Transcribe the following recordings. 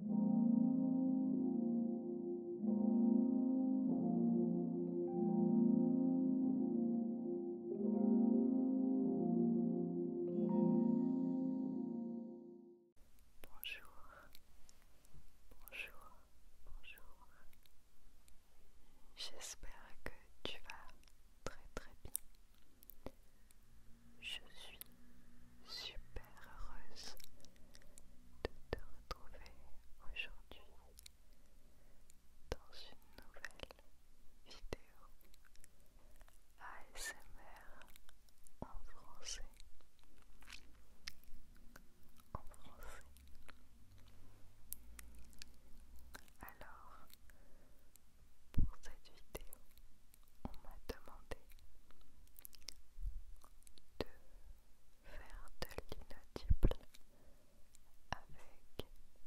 Bonjour, bonjour, bonjour. J'espère que tu vas très très bien. Je suis super heureuse de te retrouver aujourd'hui dans une nouvelle vidéo ASMR en français. En français. Alors, pour cette vidéo, on m'a demandé de faire de l'inaudible avec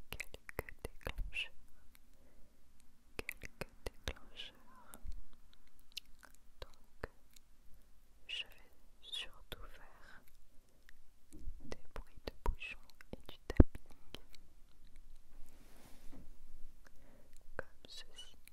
quelques déclencheurs, quelques déclencheurs. Donc, je vais surtout faire des bruits de bouchons et du tapping comme ceci.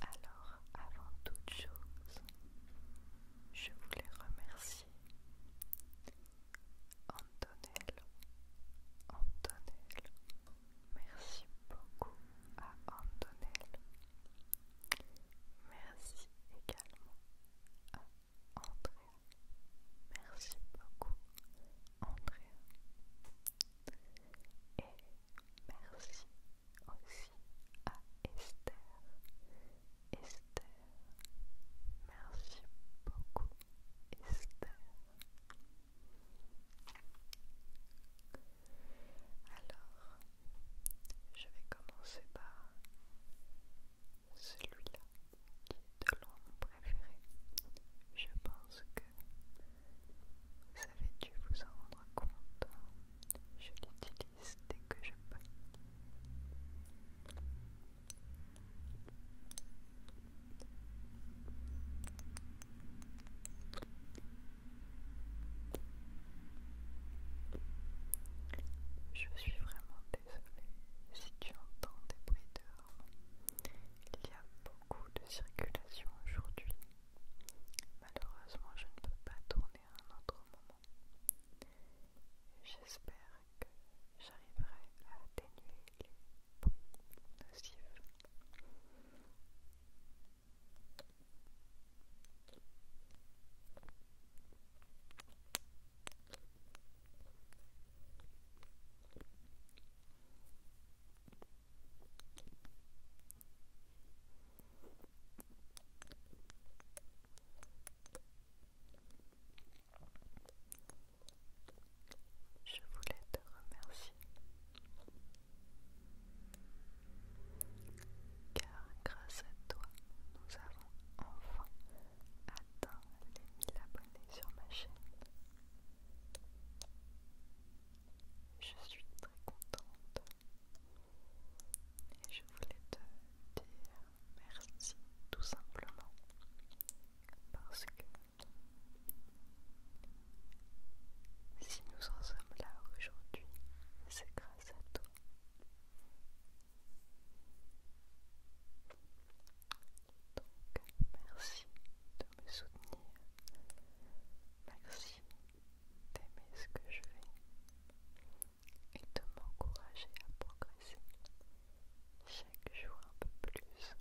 Alors, avant toute chose, je voulais remercier Antonelle, Antonelle, merci beaucoup à Antonelle, Merci également à Andrea. Merci beaucoup, Andrea. Et merci aussi à Esther. Esther, merci beaucoup, Esther. Alors, je vais commencer par celui-là, qui est de loin mon préféré. Je pense que vous avez dû vous en rendre compte. Je l'utilise dès que je peux. Je suis vraiment désolée si tu entends des bruits dehors. Il y a beaucoup de circulation aujourd'hui. Malheureusement, je ne peux pas tourner à un autre moment. J'espère que j'arriverai à atténuer les bruits nocifs. Je voulais te remercier car grâce à toi, nous avons enfin atteint les 1000 abonnés sur ma chaîne. Je suis très contente et je voulais te dire merci tout simplement parce que si nous en sommes là aujourd'hui, c'est grâce à toi. Donc, merci de me soutenir. Merci d'aimer ce que je fais et de m'encourager à progresser chaque jour un peu plus.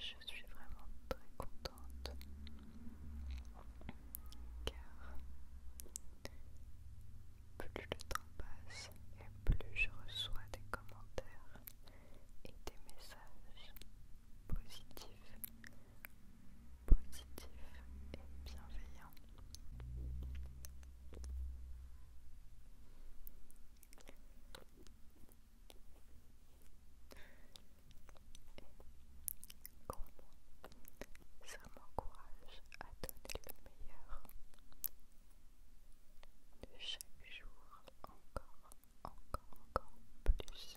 Je suis vraiment très contente car plus le temps passe et plus je reçois des commentaires et des messages positifs, positifs et bienveillants. ça m'encourage à donner le meilleur de chaque jour encore, encore, encore plus.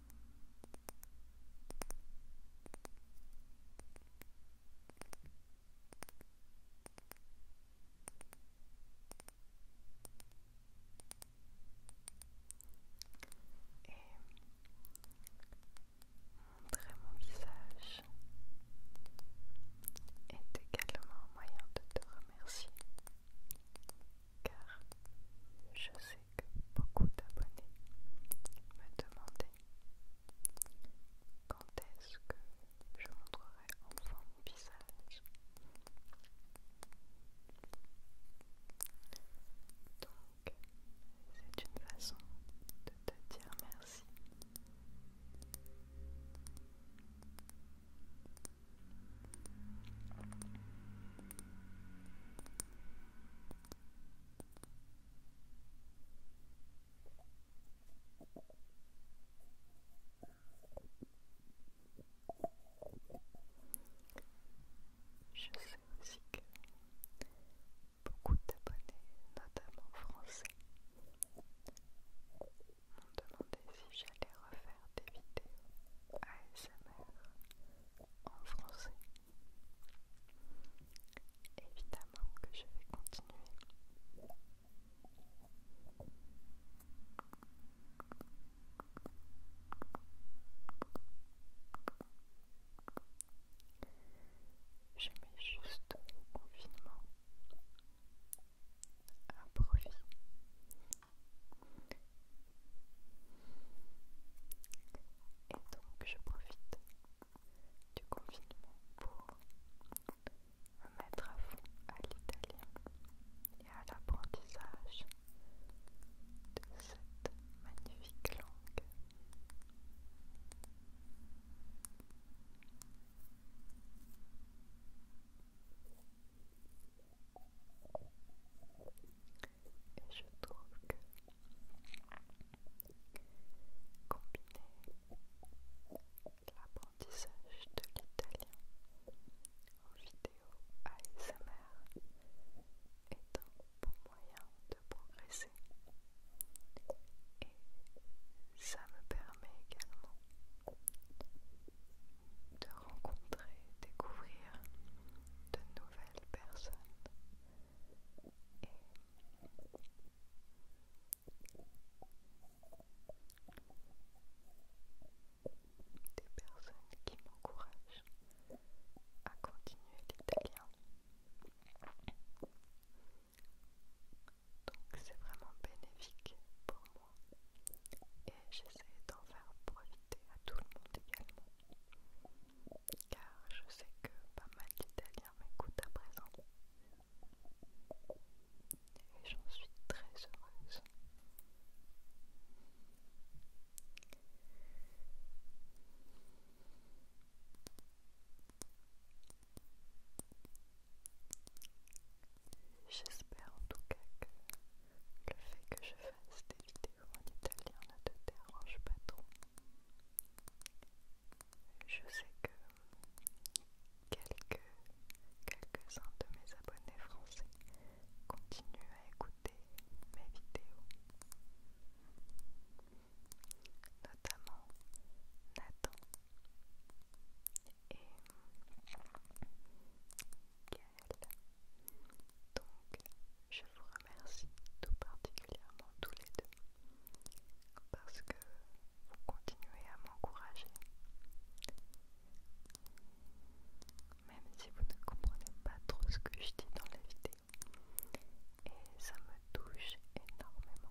et montrer mon visage est également un moyen de te remercier car je sais que beaucoup d'abonnés me demandaient quand est-ce que je montrerai enfin mon visage. Donc, c'est une façon de te dire merci. Je sais aussi que beaucoup d'abonnés, notamment français, m'ont demandé si j'allais refaire des vidéos ASMR en français. Évidemment que je vais continuer. Je mets juste au confinement un Et donc je profite du confinement pour me mettre à fond à l'italien et à l'apprentissage de cette magnifique langue. Et je trouve que combiner l'apprentissage de l'italien en vidéo ASMR est un bon moyen de progresser. Et ça me permet également de rencontrer, découvrir de nouvelles personnes et des personnes qui m'encouragent à continuer l'italien. Donc c'est vraiment bénéfique pour moi et j'essaie d'en faire profiter à tout le monde également car je sais que pas mal d'Italiens m'écoutent à présent et j'en suis très heureuse. J'espère en tout cas que le fait que je fasse des vidéos en italien ne te dérange pas trop. Je sais que quelques, quelques-uns de mes abonnés français continuent à écouter mes vidéos. Notamment Nathan et Gaël. Donc, je vous remercie tout particulièrement tous les deux parce que vous continuez à m'encourager. Même si vous ne comprenez pas trop ce que je dis dans la vidéo. Et ça me touche énormément.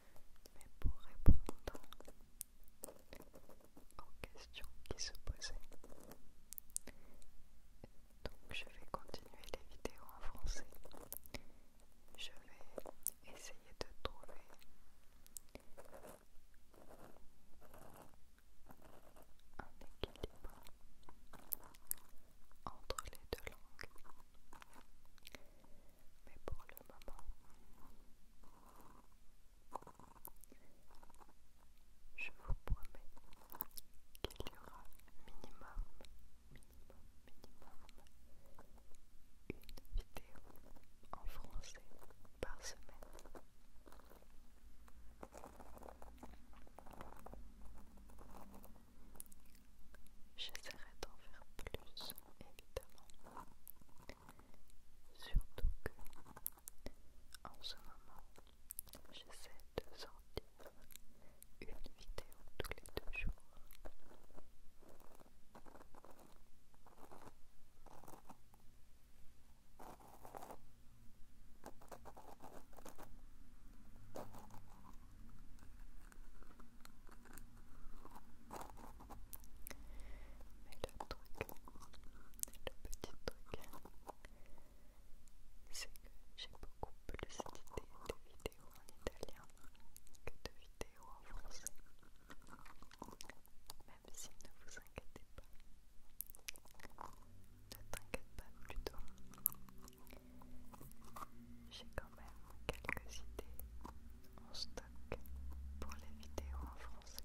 mais pour répondre aux questions qui se posaient. Donc je vais continuer les vidéos en français. Je vais essayer de trouver un équilibre entre les deux langues mais pour le moment, je vous promets qu'il y aura minimum, minimum, minimum une vidéo en français par semaine. J'essaierai d'en faire plus évidemment. Surtout que en ce moment, j'essaie de sortir une vidéo tous les deux jours. Mais le truc, le petit truc, c'est que j'ai beaucoup plus d'idées de vidéos en italien que de vidéos en français. Même si ne vous inquiétez pas. Ne t'inquiète pas plutôt. J'ai quelques idées en stock pour les vidéos en français.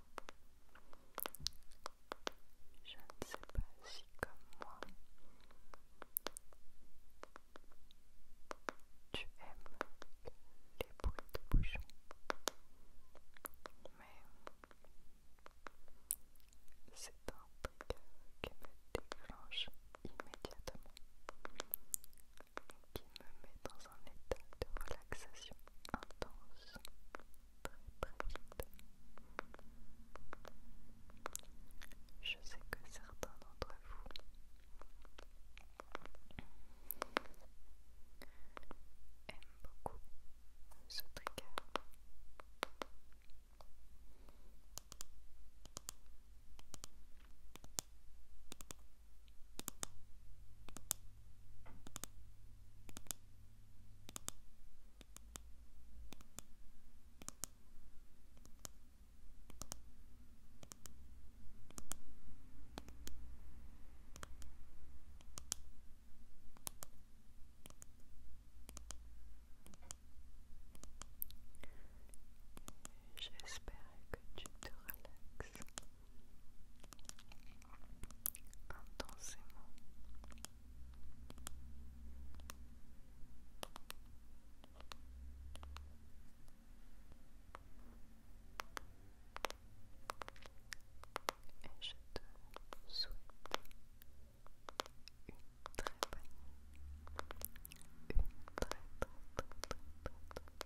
Je ne sais pas si comme moi tu aimes les bruits de bouchon, mais c'est un bruit qui me déclenche immédiatement qui me met dans un état de relaxation intense très très vite. Je sais que certains d'entre vous aiment beaucoup ce trigger. J'espère que tu te relaxes intensément. Et je te souhaite une très bonne, une très très très très très, très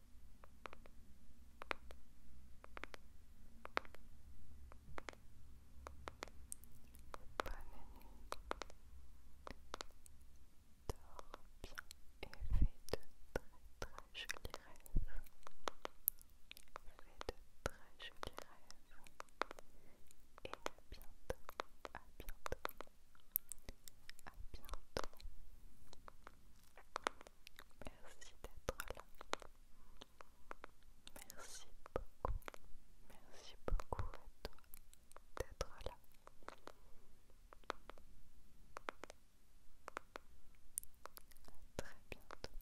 Bonne nuit. Dors bien et fais de très très jolis rêves. Fais de très jolis rêves. Et à bientôt, à bientôt, à bientôt. Merci d'être là. Merci beaucoup. Merci beaucoup à toi d'être là. À très bientôt.